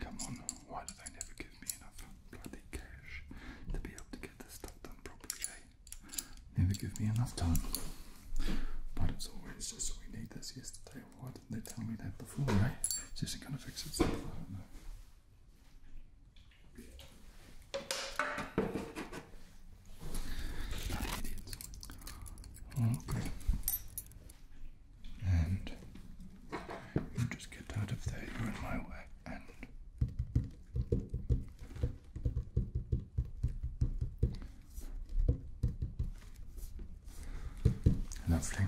Come on, why do they never give me enough bloody cash to be able to Eh? Never give me enough time. But it's always just we need this yesterday. Why didn't they tell me that before, Right? Eh? It's just gonna fix itself, I don't know. Okay. And just get out of there, way and lovely.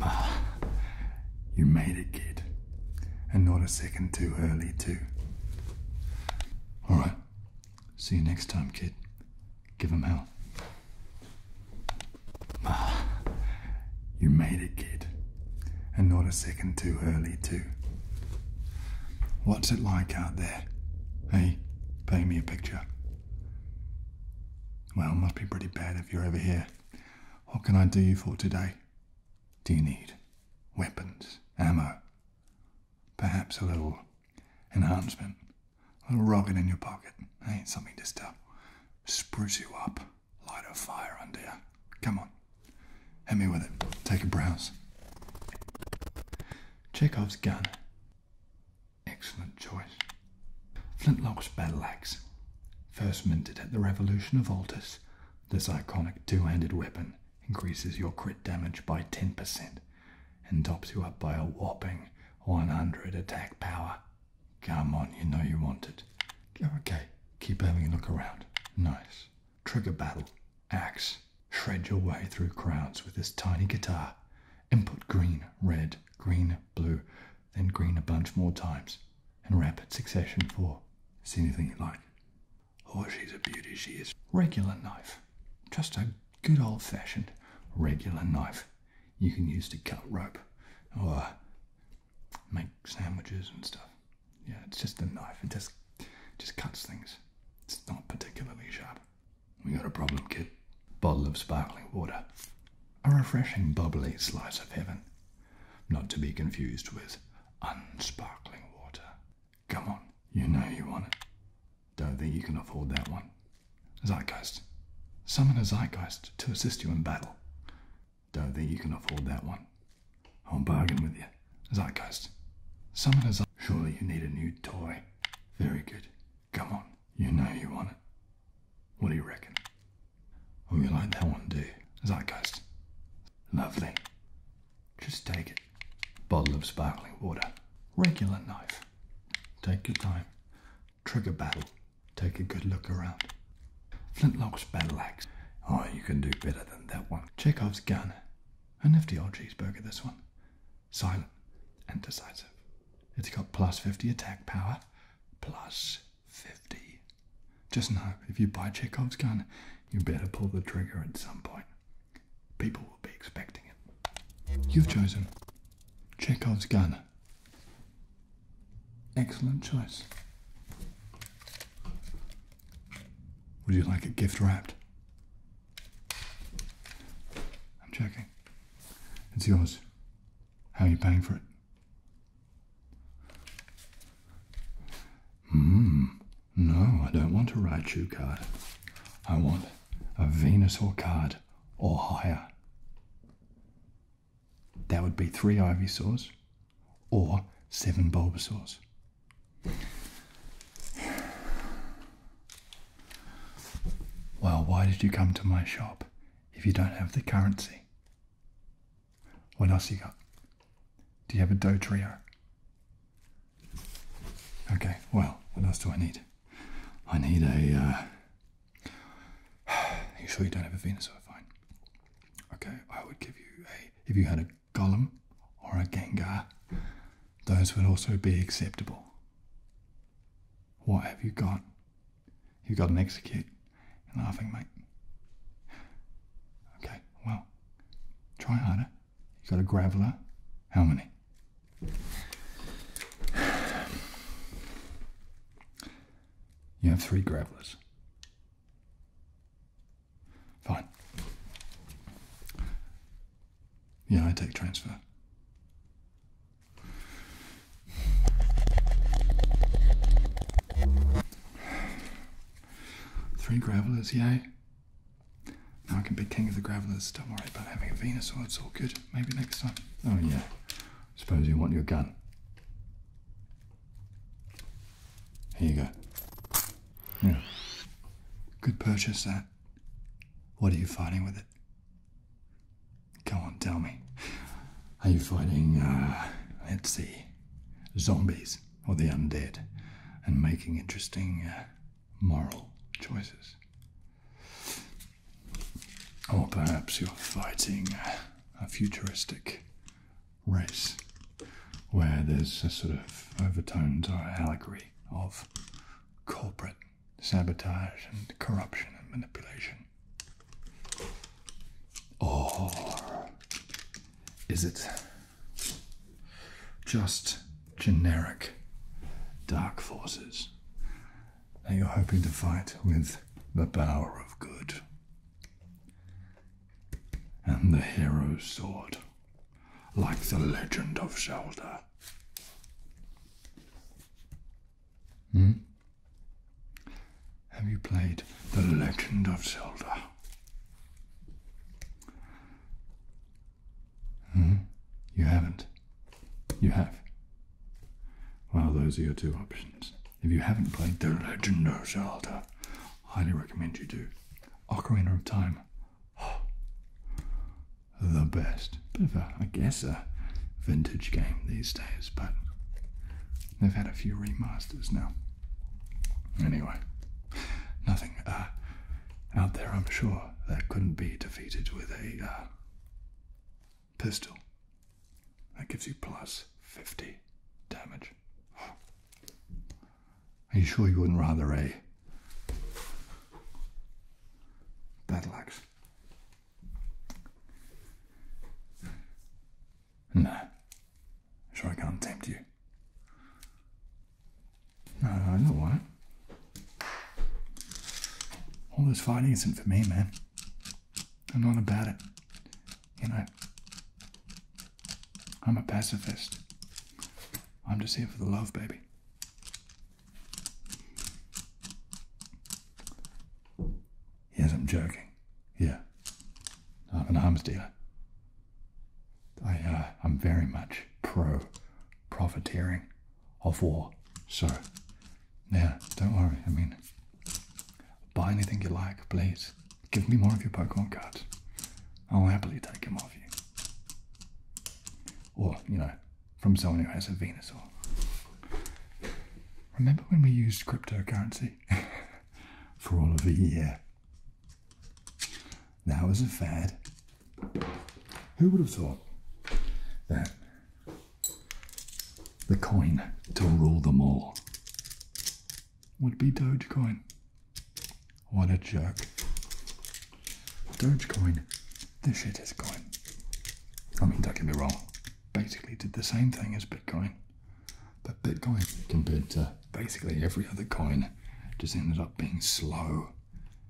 Ah, you made it, kid, and not a second too early, too. All right, see you next time, kid. Give him hell. Ah, you made it, kid. And not a second too early, too. What's it like out there? Hey, paint me a picture. Well, must be pretty bad if you're over here. What can I do you for today? Do you need weapons, ammo, perhaps a little enhancement, a little rocket in your pocket. ain't something to to spruce you up, light a fire under you. Come on, hit me with it. Take a browse. Chekhov's gun. Excellent choice. Flintlock's battle axe. First minted at the Revolution of Altus, this iconic two handed weapon increases your crit damage by 10%, and tops you up by a whopping 100 attack power. Come on, you know you want it. Okay, keep having a look around. Nice. Trigger battle. Axe. Shred your way through crowds with this tiny guitar. Input green, red, green, blue, then green a bunch more times. In rapid succession four. See anything you like. Oh, she's a beauty, she is. Regular knife. Just a good old fashioned regular knife you can use to cut rope or make sandwiches and stuff. Yeah, it's just a knife. It just just cuts things. It's not particularly sharp. We got a problem, kid. Bottle of sparkling water. A refreshing bubbly slice of heaven. Not to be confused with unsparkling water. Come on, you know you want it. Don't think you can afford that one. Zeitgeist. Summon a zeitgeist to assist you in battle. Don't think you can afford that one. I'll bargain with you. Zeitgeist. Summon a zeitgeist. Surely you need a new toy. Very good. Come on. You know you want it. What do you reckon? Oh, you like that one, do you? Zeitgeist. Lovely. Just take it. Bottle of sparkling water. Regular knife. Take your time. Trigger battle. Take a good look around. Flintlock's battle axe. Oh, you can do better than that one. Chekhov's gun. A nifty old cheeseburger, this one. Silent and decisive. It's got plus 50 attack power. Plus 50. Just know, if you buy Chekhov's gun, you better pull the trigger at some point. People You've chosen Chekhov's gun. Excellent choice. Would you like it gift wrapped? I'm checking. It's yours. How are you paying for it? Mmm. No, I don't want a Raichu card. I want a Venusaur card or higher. That would be three Ivysaurs or seven Bulbasaurs. Well, why did you come to my shop if you don't have the currency? What else you got? Do you have a dough trio? Okay, well, what else do I need? I need a. Uh, you sure you don't have a Venusaur? Fine. Okay, I would give you a. If you had a Golem or a Gengar, those would also be acceptable. What have you got? You've got an execute. You're laughing, mate. Okay, well, try harder. You got a Graveler. How many? You have three gravelers. Fine. Yeah, I take transfer. Three gravelers, yay. Now I can be king of the gravelers. Don't worry about having a Venusaur. It's all good. Maybe next time. Oh yeah. Suppose you want your gun. Here you go. Yeah. Good purchase that. What are you fighting with it? Come on, tell me. Are you fighting, uh, let's see, zombies or the undead and making interesting uh, moral choices? Or perhaps you're fighting a futuristic race where there's a sort of overtones or allegory of corporate sabotage and corruption and manipulation. Or is it just generic dark forces that you're hoping to fight with the power of good and the hero's sword, like the legend of Zelda. Hmm? Have you played The Legend of Zelda? Hmm? You haven't. You have. Well, those are your two options. If you haven't played The Legend of Zelda, highly recommend you do. Ocarina of Time. the best. Bit of a, I guess, a vintage game these days, but they've had a few remasters now. Anyway, nothing uh, out there, I'm sure, that couldn't be defeated with a. Uh, pistol. That gives you plus 50 damage. Are you sure you wouldn't rather a battle axe? No. I'm sure I can't tempt you. I don't want it. All this fighting isn't for me, man. I'm not about it. You know, I'm a pacifist. I'm just here for the love, baby. Yes, I'm joking. Yeah. I'm an arms dealer. I, uh, I'm very much pro profiteering of war. So, yeah, don't worry. I mean, buy anything you like, please. Give me more of your Pokemon cards. I'll happily take them off you. Or, you know, from someone who has a Venusaur. Remember when we used cryptocurrency for all of a year? That was a fad. Who would have thought that the coin to rule them all would be Dogecoin? What a joke. Dogecoin, the shit is coin. I mean, don't get me wrong, basically did the same thing as Bitcoin. But Bitcoin, compared to basically every other coin, just ended up being slow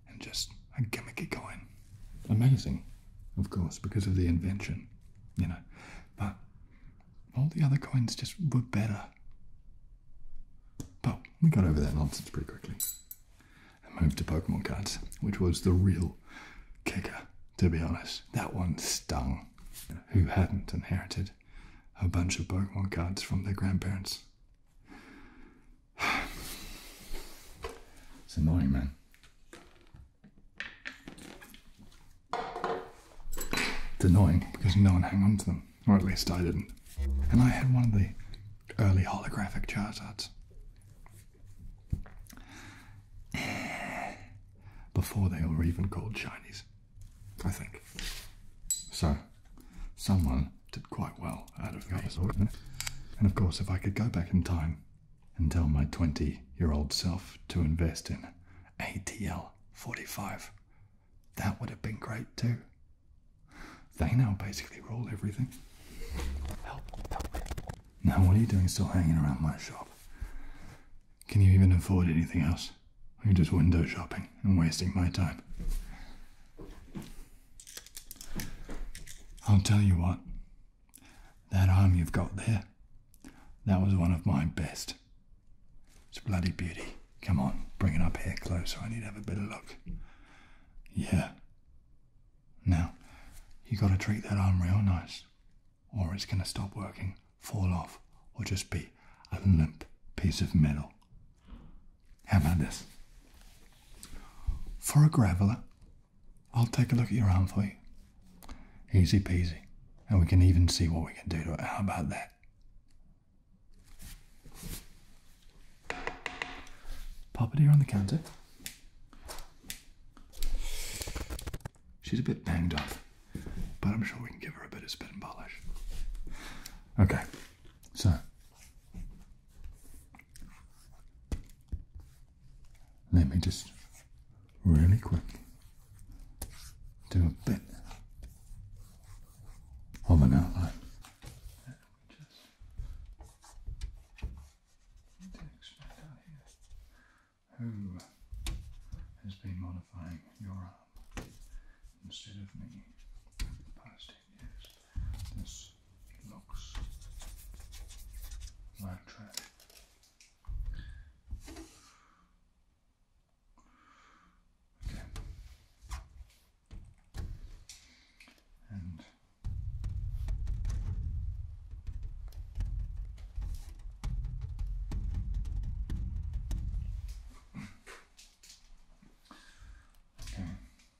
and just a gimmicky coin. Amazing, of course, because of the invention, you know. But all the other coins just were better. But we got over that nonsense pretty quickly and moved to Pokemon cards, which was the real kicker, to be honest. That one stung. who hadn't inherited a bunch of Pokemon cards from their grandparents? it's annoying, man. It's annoying because no one hang on to them, or at least I didn't. And I had one of the early holographic charge arts. Before they were even called shinies. I think. So, someone did quite well out of the me. And of course, if I could go back in time and tell my 20 year old self to invest in ATL 45, that would have been great too. They now basically rule everything. Help, help. Now, what are you doing still hanging around my shop? Can you even afford anything else? Are you just window shopping and wasting my time? I'll tell you what, that arm you've got there, that was one of my best. It's a bloody beauty. Come on, bring it up here closer. I need to have a better look. Yeah. Now, you got to treat that arm real nice, or it's going to stop working, fall off, or just be a limp piece of metal. How about this? For a graveler, I'll take a look at your arm for you. Easy peasy. And we can even see what we can do to it. How about that? Pop it here on the counter. She's a bit banged up, but I'm sure we can give her a bit of spit and polish. Okay, so let me just really quick do a bit of an outline. Who has been modifying your arm instead of me? locks, land track. Again. And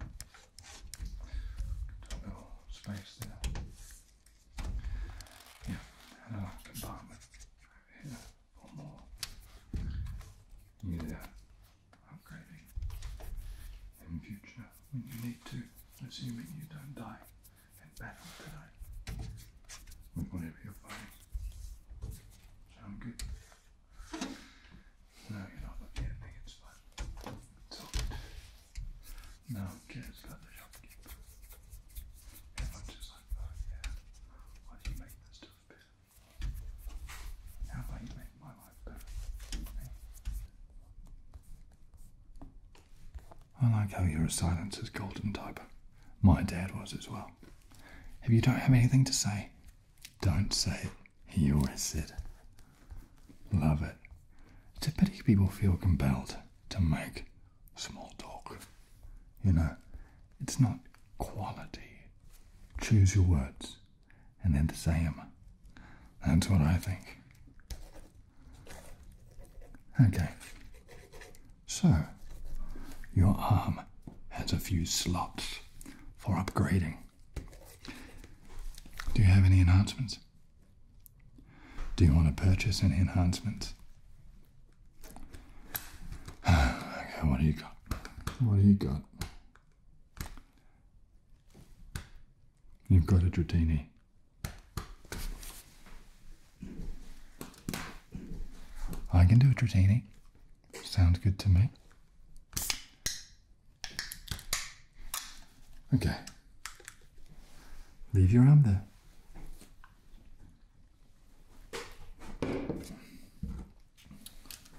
a little space there. Yeah, and compartment here for more. Yeah, upgrading in future when you need to, assuming you don't die in battle today whatever you're fighting. Sound good? No, you're not looking at me, it's No, just let the shopkeeper. If I'm just like, oh yeah, why do you make this stuff better? How about you make my life better? I like how you're a silence is golden type. My dad was as well. If you don't have anything to say, don't say it. He always said. Love it. It's a pity people feel compelled to make small talk. You know, it's not quality. Choose your words and then to say them. That's what I think. Okay. So, your arm has a few slots for upgrading. Do you have any enhancements? Do you want to purchase any enhancements? okay, what do you got? What do you got? You've got a Dratini. I can do a Dratini. Sounds good to me. Okay. Leave your arm there.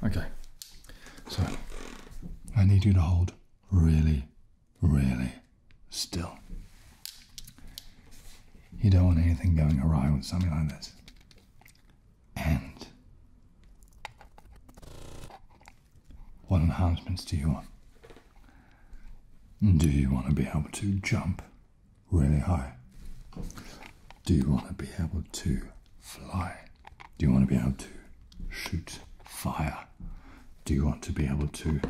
Okay. So, I need you to hold really, really still. You don't want anything going awry with something like this. And what enhancements do you want? Do you want to be able to jump really high? Do you want to be able to fly? Do you want to be able to shoot fire? Do you want to be able to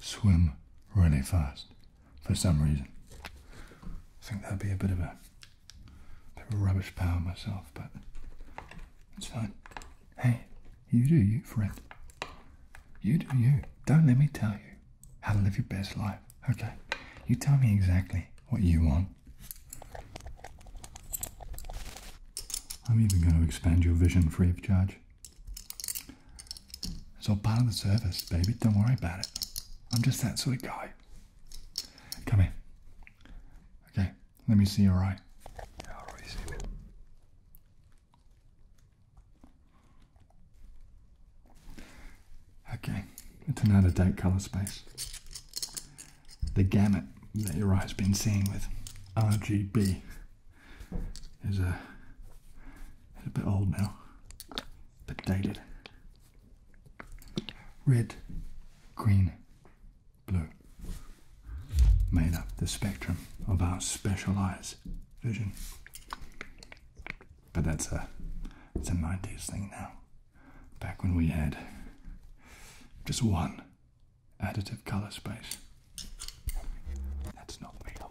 swim really fast for some reason? I think that'd be a bit of a a bit of rubbish power myself, but it's fine. Hey, you do you, friend. You do you. Don't let me tell you how to live your best life, okay? You tell me exactly what you want. I'm even going to expand your vision free of charge. It's all part of the service, baby. Don't worry about it. I'm just that sort of guy. Come in. Okay, let me see your eye. Okay, it's an out of date color space. The gamut that your eye's been seeing with RGB uh, is a bit old now, a bit dated. Red, green, blue made up the spectrum of our specialized vision. But that's a it's a 90s thing now. Back when we had just one additive color space. That's not real.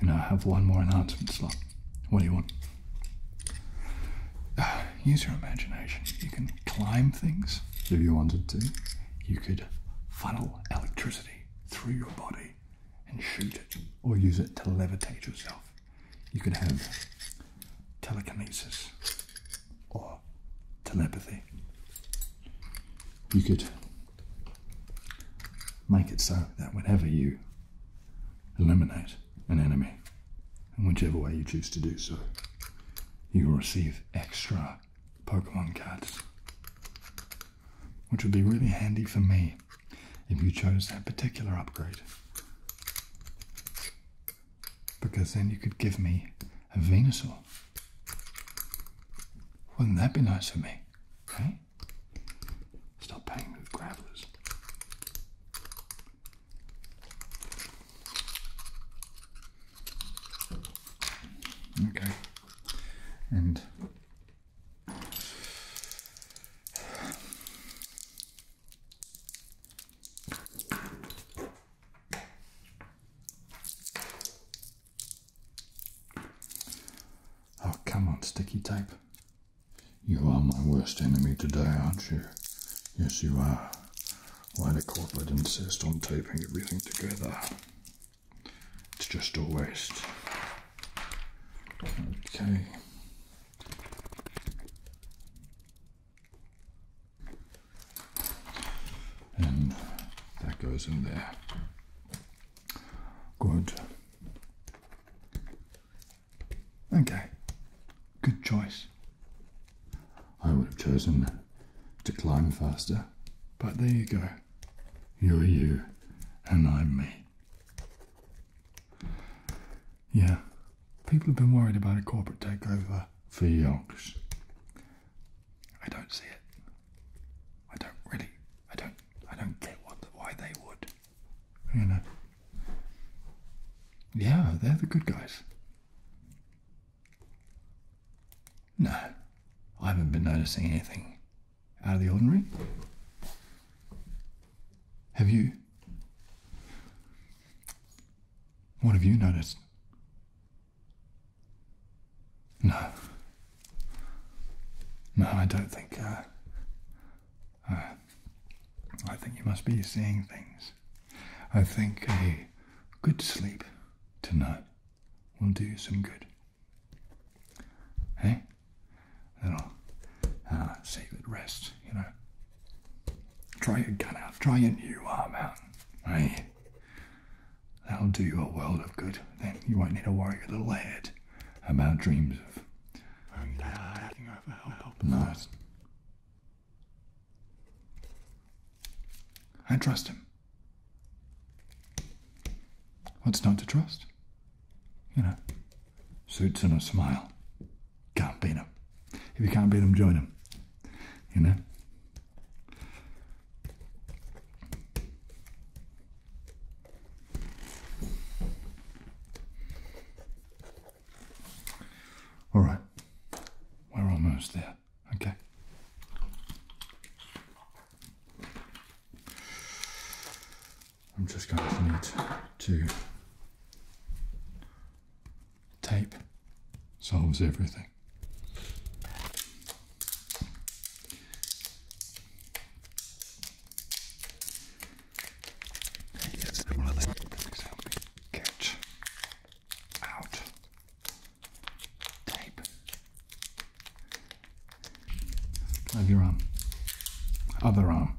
you know, have one more announcement slot. What do you want? use your imagination. You can climb things if you wanted to. You could funnel electricity through your body and shoot it, or use it to levitate yourself. You could have telekinesis or telepathy. You could make it so that whenever you eliminate an enemy. And whichever way you choose to do so, you will receive extra Pokemon cards. Which would be really handy for me if you chose that particular upgrade. Because then you could give me a Venusaur. Wouldn't that be nice for me? Stop paying with gravelers. Okay, and oh, come on, sticky tape. You are my worst enemy today, aren't you? Yes, you are. Why the corporate insist on taping everything together? It's just a waste. Okay. And that goes in there. Good. Okay, good choice. I would have chosen to climb faster, but there you go. You're you, and I'm me. Yeah, people have been worried about a corporate takeover for yonks. I don't see it. I don't really. I don't. I don't get what why they would. You uh, know. Yeah, they're the good guys. No, I haven't been noticing anything out of the ordinary. Have you? What have you noticed? No. No, I don't think. Uh, I think you must be seeing things. I think a good sleep tonight will do you some good. Hey? i will uh, save it rest, you know. Try your gun out, try a new arm out. Hey? That'll do you a world of good. Then you won't need to worry your little head about dreams of no. I trust him. What's not to trust? You know, suits and a smile. Can't beat him. If you can't beat him, join him. You know? All right, we're almost there, okay? I'm just going to need to tape solves everything. Yes, one of get out tape. Of your arm. Other arm.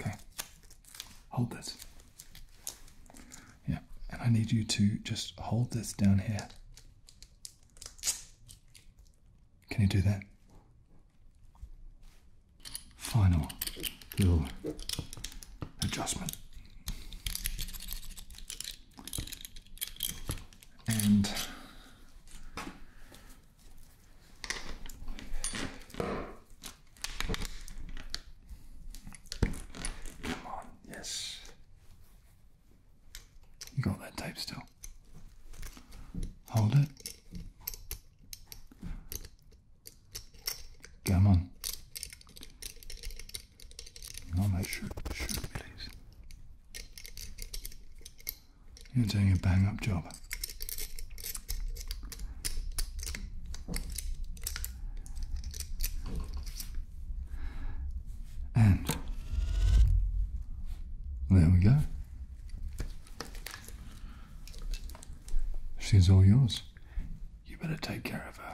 Okay. Hold this. Yeah, and I need you to just hold this down here. Can you do that? Final little adjustment. And come on, yes. You got that tape still. Hold it. Come on. Not my shirt, shirt, please. You're doing a bang up job. And there we go. She's all yours. You better take care of her,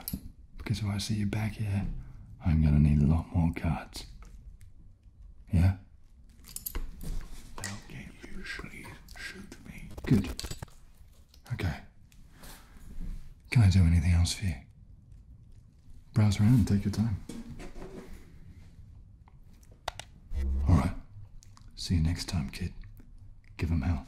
because if I see you back here, I'm gonna need a lot more cards. Yeah? Now can you please Good. Okay. Can I do anything else for you? Browse around and take your time. All right. See you next time, kid. Give him hell.